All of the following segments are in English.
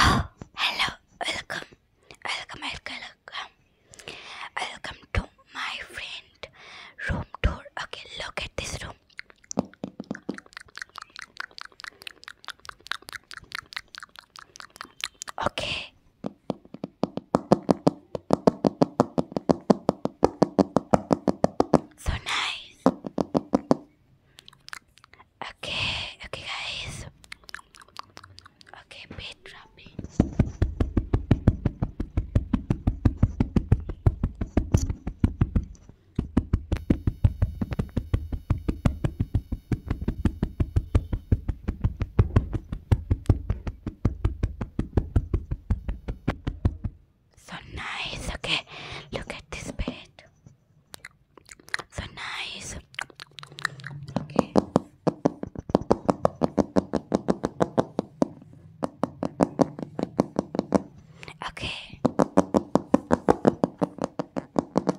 Oh, hello, welcome, welcome, welcome, welcome, to my friend room tour. Okay, look at this room. Okay, so nice. Okay, okay, guys. Okay, beat dropping. So nice. Okay, look at this bed. So nice. Okay. Okay.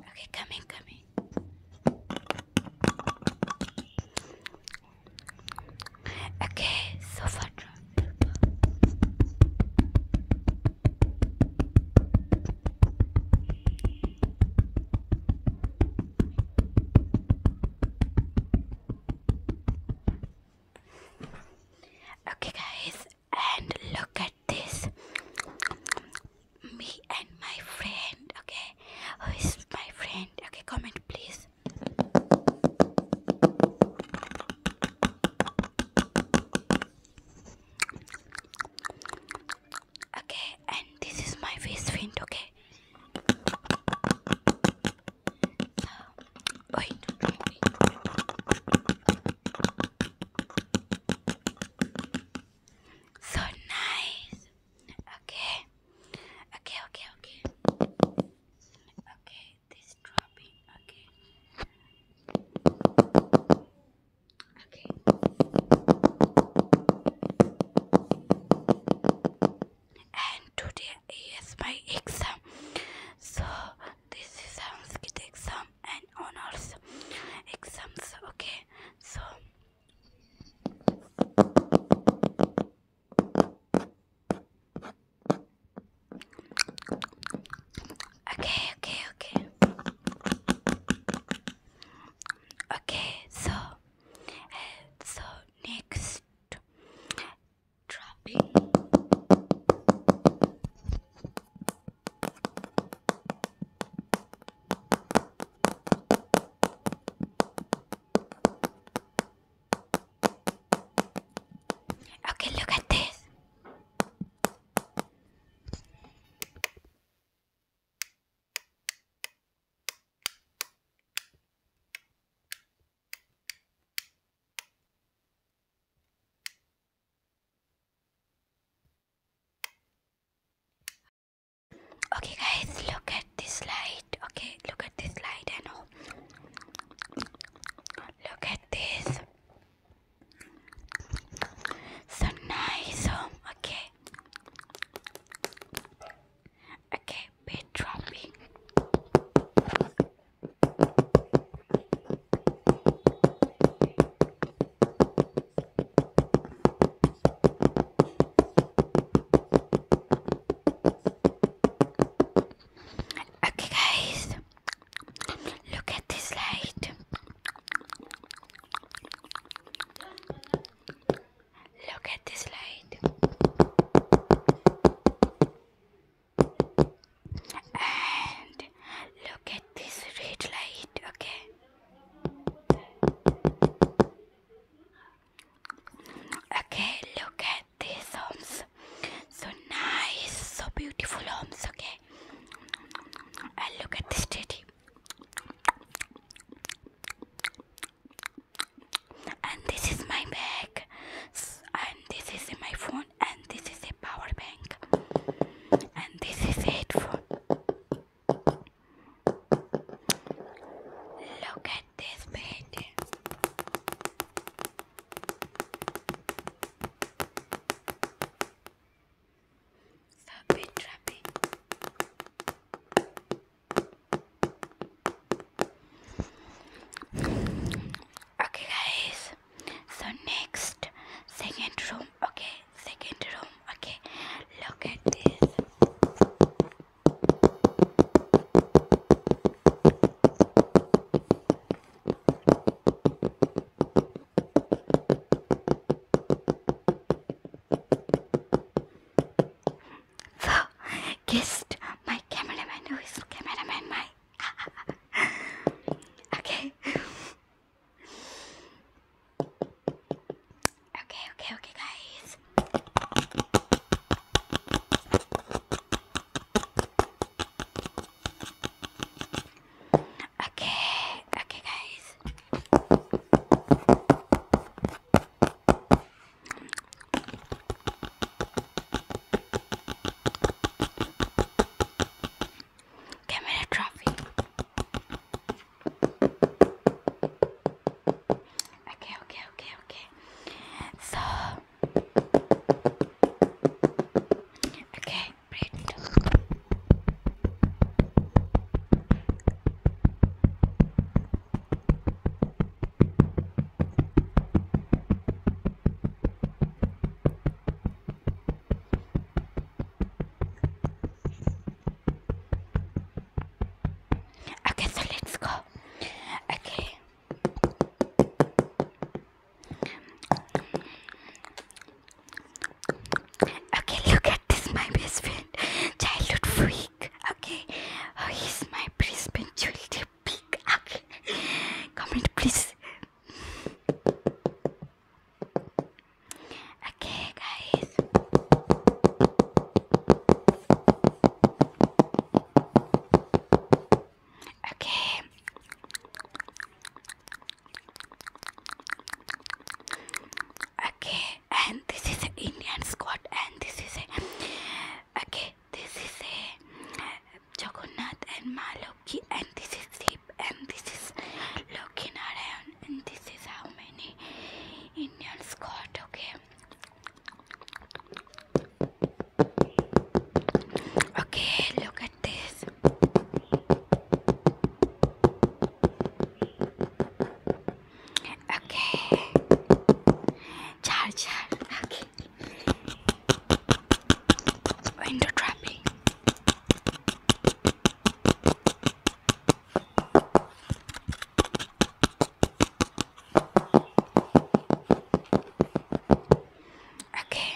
Okay, coming, coming. Okay, so far Okay guys, and look at this. Me and my friend, okay? Who is my friend? Okay, comment please. Okay, and this is my face paint, okay? Uh, so nice. Okay. Okay, okay, okay. Okay, this dropping. Okay. Okay. And today is my exam. So this is Sanskrit exam and honors exams. Okay. So Okay, okay, okay. Okay, so uh, so next dropping Okay, look at this. Okay, guys, look at this light. Okay, look at this light. I know. Look at this. So nice. Oh, okay. Okay, bit dropping. Okay, guys, look at this light. Look at this light. And look at this red light, okay? Okay, look at these homes. So nice, so beautiful homes, okay. And look at this teddy. And this is my bag. And this is my phone. And this is a power bank and this is a headphone look at this bed so bit okay guys so next second room okay second room okay look at this so kissed my cameraman who is cameraman my okay. Okay, okay, okay, guys. Okay, okay, guys. Camera trophy. Okay, okay, okay, okay. So, okay, bread. Okay, so let's go. Okay. Okay, look at this, my best friend, childhood freak. Okay, oh, he's my best Brisbane child pig. Okay. Comment, please. Okay, guys. Okay. Okay, and this is Indian squat, and this is a okay this is a Jagannath and Ma and this is deep and this is looking Narayan and this is how many Indians got okay okay look at this okay char char okay window trapping. Okay.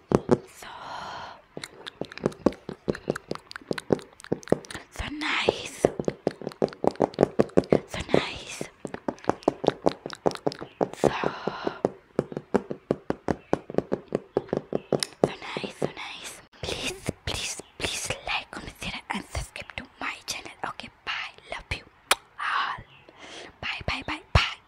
so, so nice, so nice, so, so nice, so nice. Please, please, please like, consider, and subscribe to my channel. Okay, bye. Love you all. Bye, bye, bye, bye.